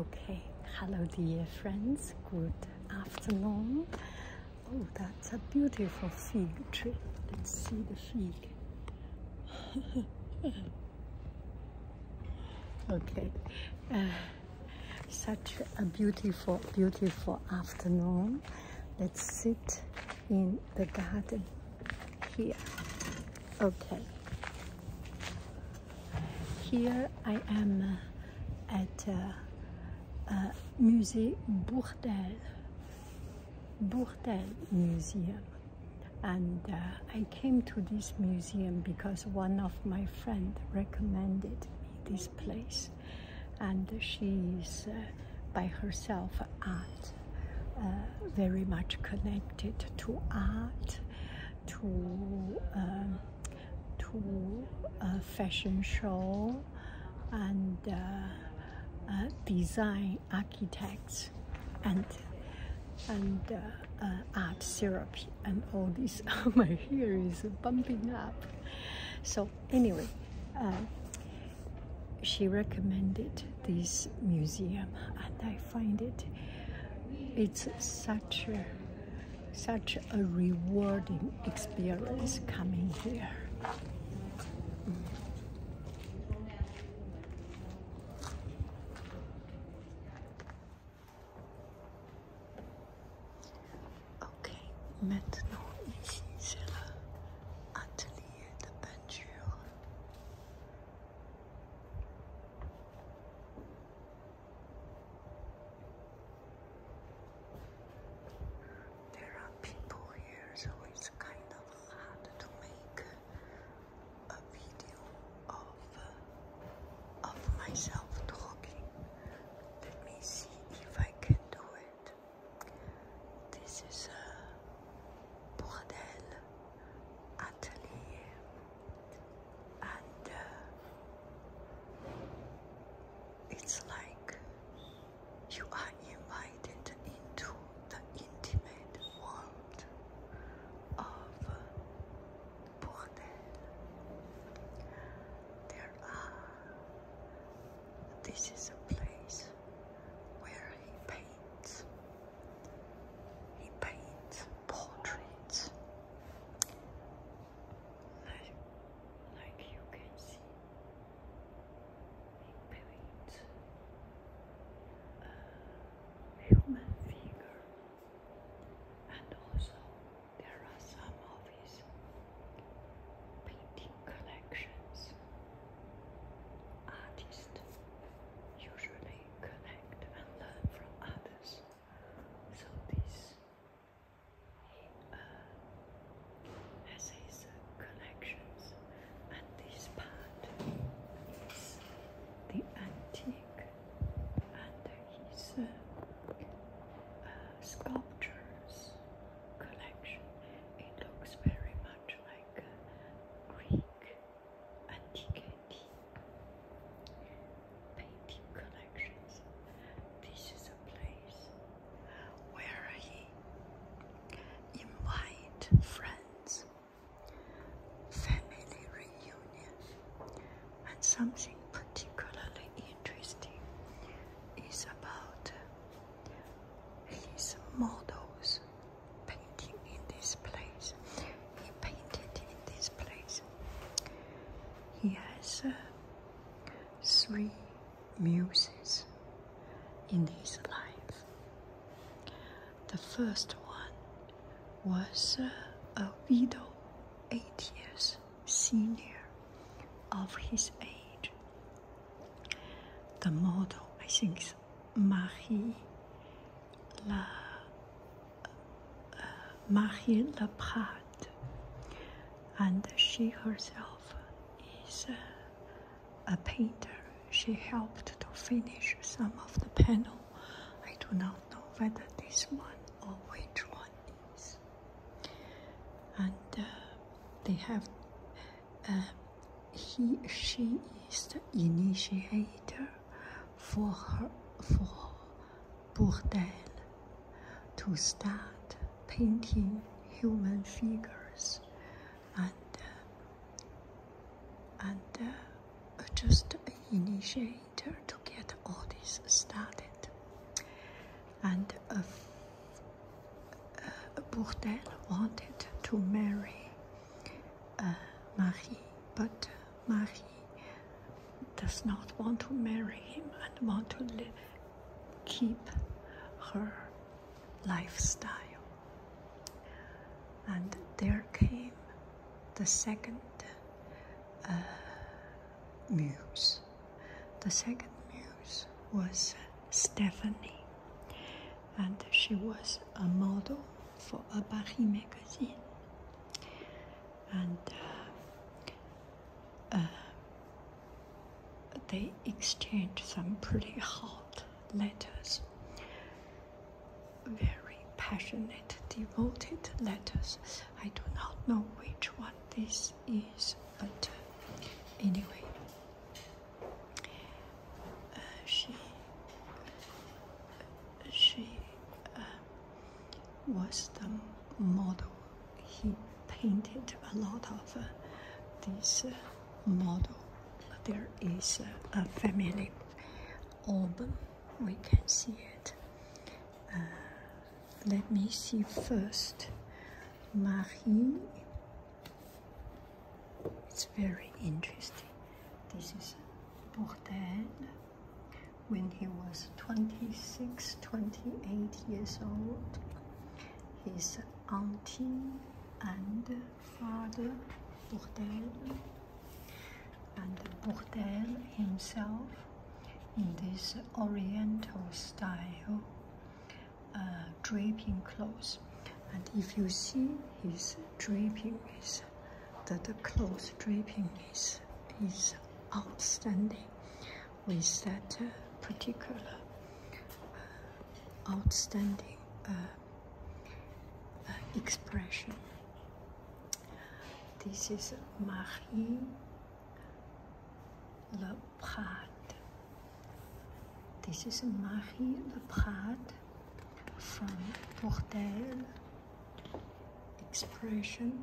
Okay, hello dear friends, good afternoon. Oh, that's a beautiful fig Let's see the fig. okay, uh, such a beautiful, beautiful afternoon. Let's sit in the garden here. Okay. Here I am uh, at uh, uh, Musée Bourdel, Bourdel Museum. And uh, I came to this museum because one of my friends recommended me this place. And she is uh, by herself art, very much connected to art to um, to a uh, fashion show and uh, uh, design architects and and art therapy and all this oh, my hair is bumping up so anyway she recommended this museum and I find it it's such a, such a rewarding experience coming here. Ok, maintenant ici c'est l'atelier de peinture. There are people here, so it's kind of hard to make a video of of myself talking. Let me see if I can do it. This is a bordel atelier and uh, it's like you are invited into the intimate world of Bourdelle. There are, this is a place where he paints he paints portraits. Like, you can see, he paints a uh, human figure, and also there are some of his painting collections. Artists usually connect and learn from others. So this uh, has his uh, collections, and this part is the antique and his uh, uh, sculptures collection. It looks very much like uh, Greek antique painting collections. This is a place where he invite friends, family reunion, and something particularly interesting is about his models painting in this place. He painted in this place he has uh, three muses in his life. The first one was uh, a widow, eight years senior of his age. The model, I think, is Marie La Marie Laprade, and she herself is a painter. She helped to finish some of the panel. I do not know whether this one or which one is. And uh, they have. Uh, he, she is the initiator for her for Bourdelle to start painting human figures and uh, and uh, just initiate her to get all this started and uh, uh Bourdelle wanted to marry Marie but Marie does not want to marry him and want to keep her lifestyle. And there came the second uh, muse. The second muse was Stephanie, and she was a model for a Paris magazine and uh, uh, they exchanged some pretty hot letters, very passionate, devoted letters. I do not know which one this is, but uh, anyway, she she was the model. He painted a lot of uh, this uh, model. There is a family album. We can see it. Uh, let me see first. Marie. It's very interesting. This is Bourdelle when he was 26, 28 years old. His auntie and father, bought him, and bought him himself in this oriental style uh, draping clothes. And if you see his draping is that the clothes draping is, is outstanding with that uh, particular uh, outstanding uh, expression. This is Marie Leprade. This is Marie Leprade from Bordel expression,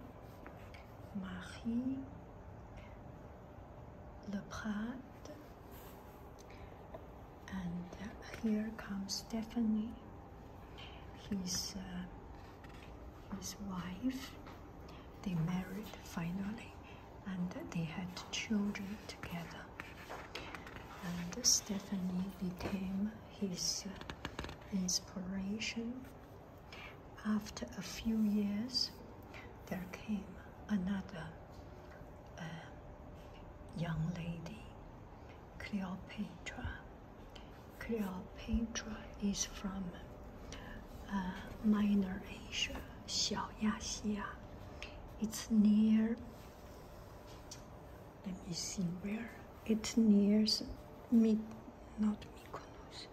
Marie, Le and here comes Stephanie, his, uh, his wife. They married finally, and they had children together. And Stephanie became his uh, inspiration after a few years, there came another uh, young lady, Cleopatra. Cleopatra is from uh, Minor Asia, Xiaoyaxia. It's near, let me see where. It's near Mik not Mykonos.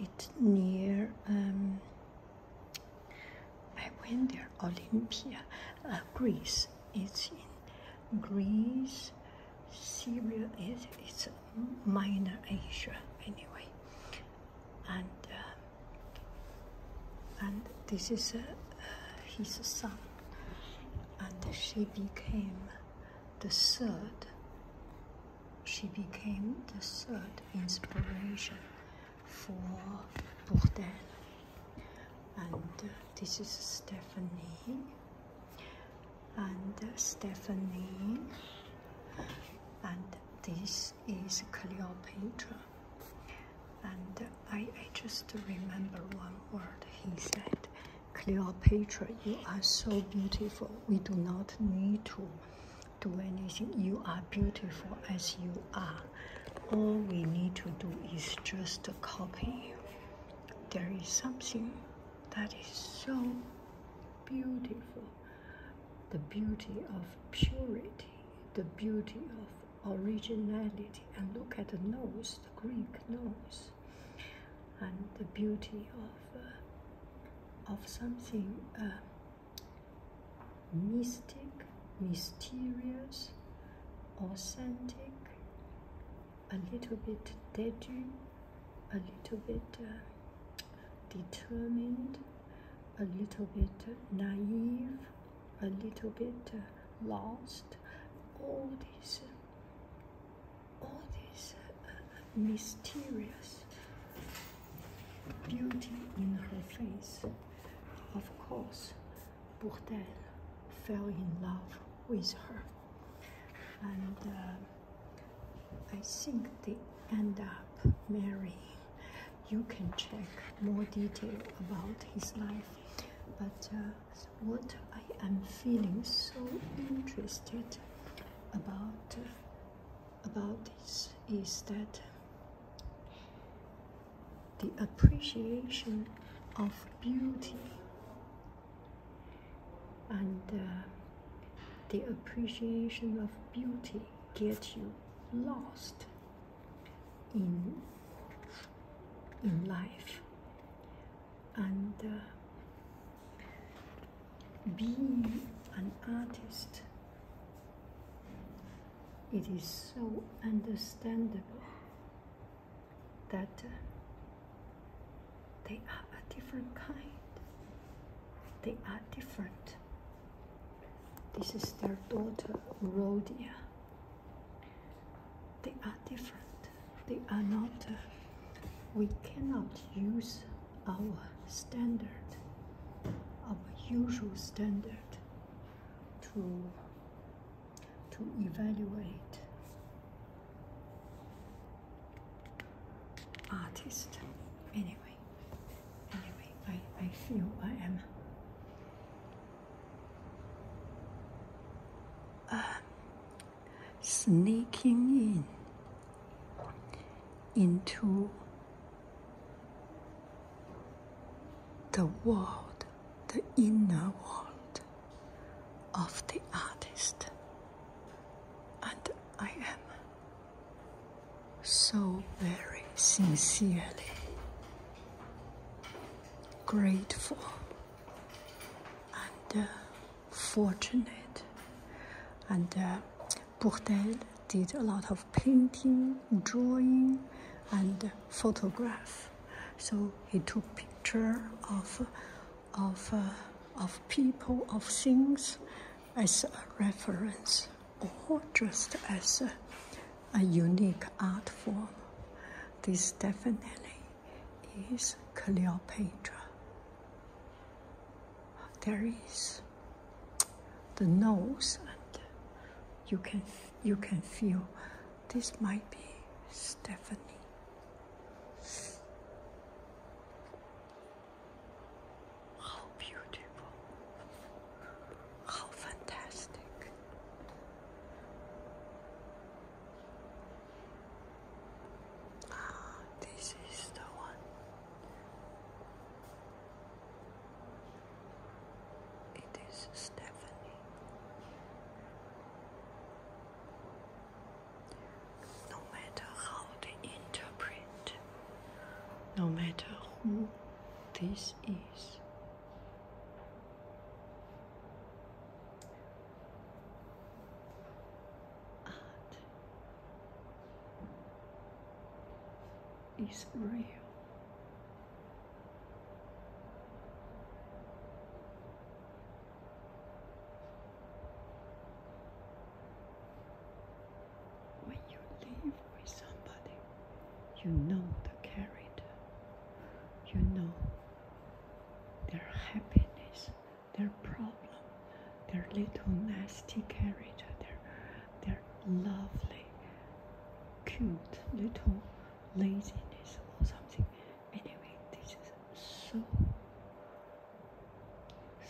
It's near. Um, I went there. Olympia, uh, Greece. It's in Greece. Syria is it's minor Asia anyway, and uh, and this is uh, uh, his son, and she became the third. She became the third inspiration for Bourdel. And uh, this is Stephanie. And uh, Stephanie. And this is Cleopatra. And uh, I just remember one word he said. Cleopatra, you are so beautiful. We do not need to do anything. You are beautiful as you are. All we need to do is just to copy There is something that is so beautiful. The beauty of purity, the beauty of originality. And look at the nose, the Greek nose and the beauty of uh, of something uh, mystic, mysterious, authentic, a little bit daring, a little bit uh, determined, a little bit naive, a little bit lost. All these all this uh, uh, mysterious beauty in her face. Of course, Bourdel fell in love with her. And uh, I think they end up marrying. You can check more detail about his life. But what I am feeling so interested about about this is that the appreciation of beauty and uh, the appreciation of beauty gets you lost in in life and uh, being an artist it is so understandable that uh, they are a different kind they are different this is their daughter Rodia they are different they are not uh, we cannot use our standard, our usual standard to, to evaluate artist. Anyway, anyway, I, I feel I am uh, sneaking in into the world, the inner world of the artist. And I am so very sincerely grateful and. Uh, fortunate. And Bourdelle uh, did a lot of painting, drawing, and photograph. So he took picture of of uh, of people, of things, as a reference, or just as a, a unique art form. This definitely is Cleopatra there is the nose and you can you can feel this might be Stephanie how beautiful how fantastic ah this is the one it is Stephanie. No matter how they interpret, no matter who this is. Art is real. When you live with somebody, you know the character, you know their happiness, their problem, their little nasty character, their, their lovely, cute little laziness or something. Anyway, this is so,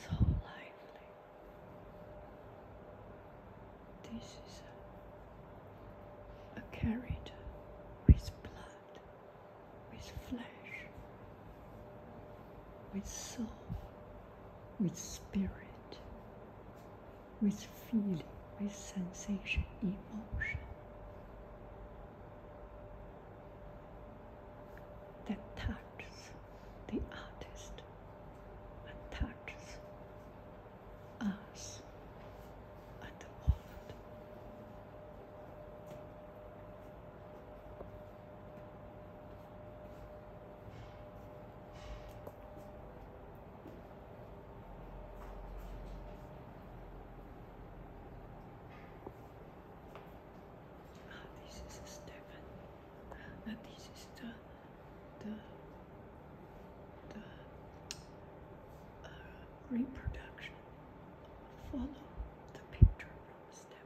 so lively. This is a, a character with blood, with flesh, with soul with spirit, with feeling, with sensation, emotion. That touches the artist and touches us and the world. Ah, this is a Stefan. Ah, this is the the the uh, reproduction. Follow the picture from Stefan.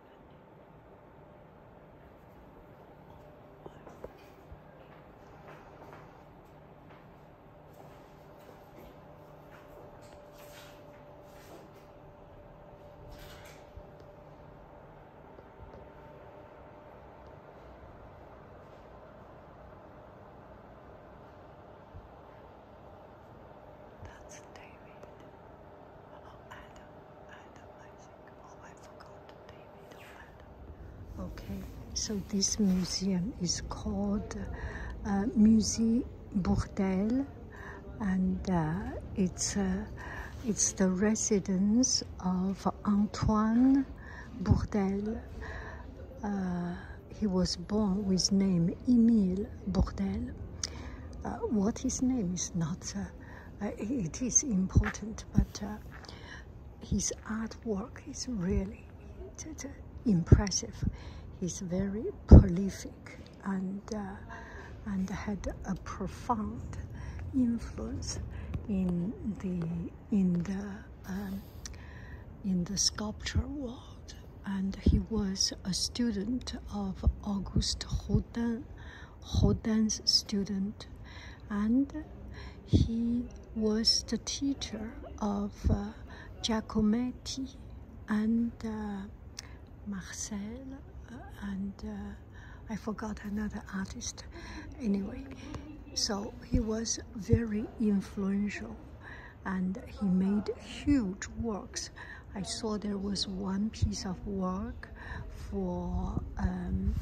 That's David. Hello, oh, Adam. Adam, Oh, okay, so this museum is called uh, Musée Bourdelle, and uh, it's uh, it's the residence of Antoine Bourdelle. he was born with name Emile Bourdelle. Uh, what his name is not uh, it is important, but uh, his artwork is really uh, impressive. He's very prolific and and had a profound influence in the in the um, in the sculpture world. And he was a student of Auguste Rodin Hodan's student, and he was the teacher of uh, Giacometti and uh, Marcel, uh, and uh, I forgot another artist. Anyway, so he was very influential and he made huge works. I saw there was one piece of work for um,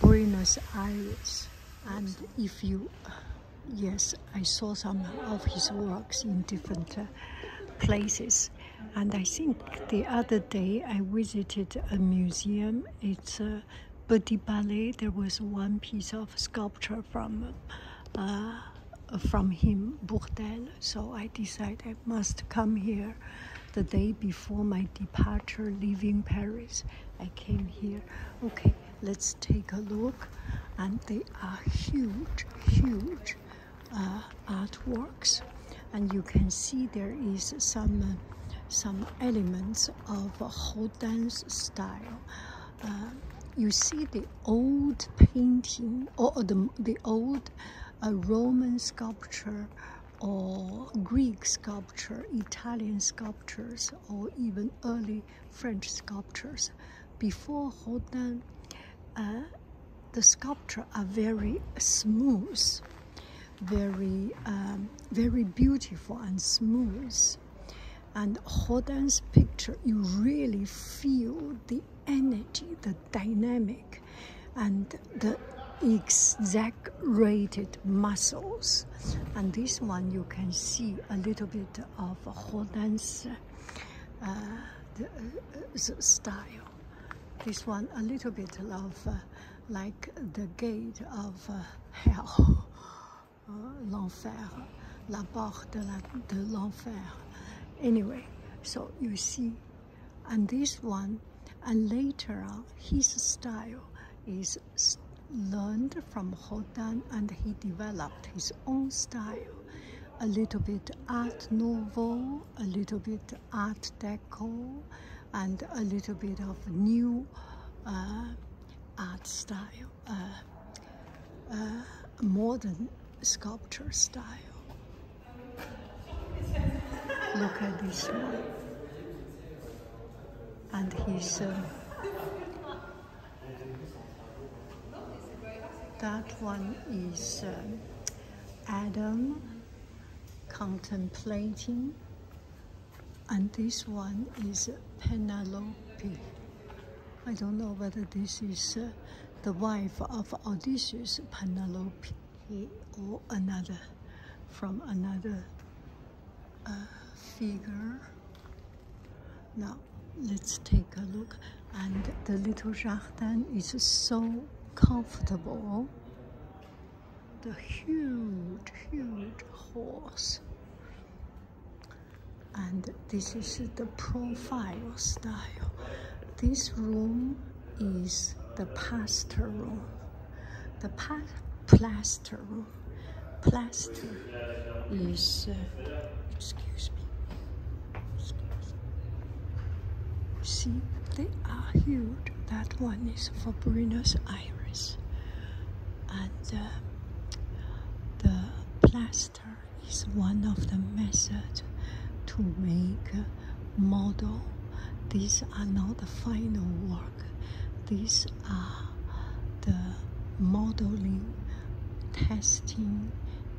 Buenos Aires and if you yes I saw some of his works in different uh, places and I think the other day I visited a museum it's a Body Ballet there was one piece of sculpture from uh, from him Bourdel so I decided I must come here the day before my departure leaving Paris. I came here. Okay, let's take a look. And they are huge, huge uh, artworks. And you can see there is some, some elements of Hodan's style. Uh, you see the old painting or the, the old uh, Roman sculpture or Greek sculpture, Italian sculptures, or even early French sculptures. Before Rodin, uh, the sculpture are very smooth, very, um, very beautiful and smooth. And Rodin's picture, you really feel the energy, the dynamic and the exaggerated muscles. And this one you can see a little bit of a whole uh, uh, style. This one a little bit of uh, like the gate of hell, l'enfer, la porte de l'enfer. Anyway, so you see and this one and later on his style is learned from Hodan and he developed his own style a little bit art nouveau a little bit art deco and a little bit of new uh, art style uh, uh, modern sculpture style Look at this one. And his uh, that one is uh, Adam contemplating, and this one is Penelope. I don't know whether this is uh, the wife of Odysseus, Penelope or another from another uh, figure. Now let's take a look and the little jardin is so comfortable. The huge, huge horse. And this is the profile style. This room is the plaster The pa plaster Plaster is, uh, excuse me, See, they are huge. That one is for Buenos Aires. And uh, the plaster is one of the methods to make uh, model. These are not the final work. These are the modeling, testing,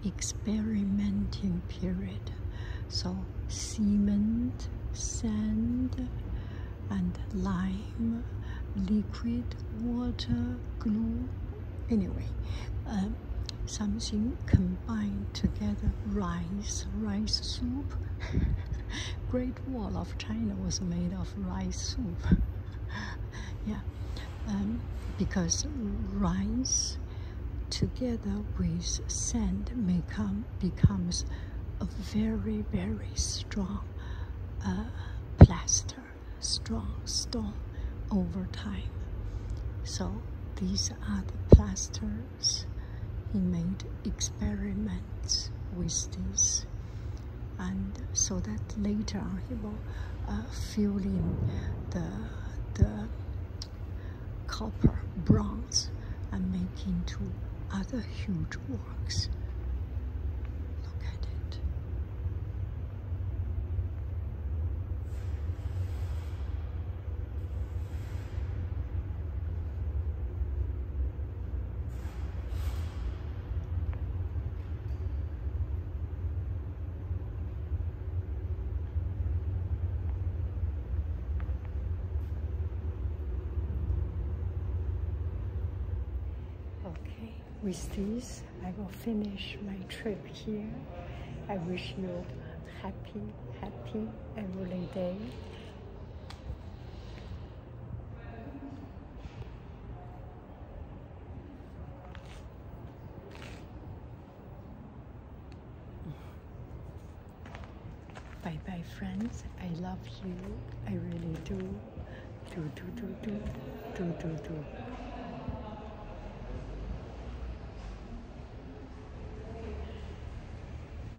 experimenting period. So cement, sand, and lime, liquid, water, glue, anyway, um, something combined together, rice, rice soup, Great Wall of China was made of rice soup. yeah, um, because rice together with sand become, becomes a very, very strong uh, plaster, strong stone over time. So these are the plaster he made experiments with this and so that later on he will uh, in the, the copper, bronze and make into other huge works. Look at it. Okay, with this, I will finish my trip here. I wish you happy, happy every day. Bye bye, friends. I love you. I really do. Do, do, do, do. Do, do, do.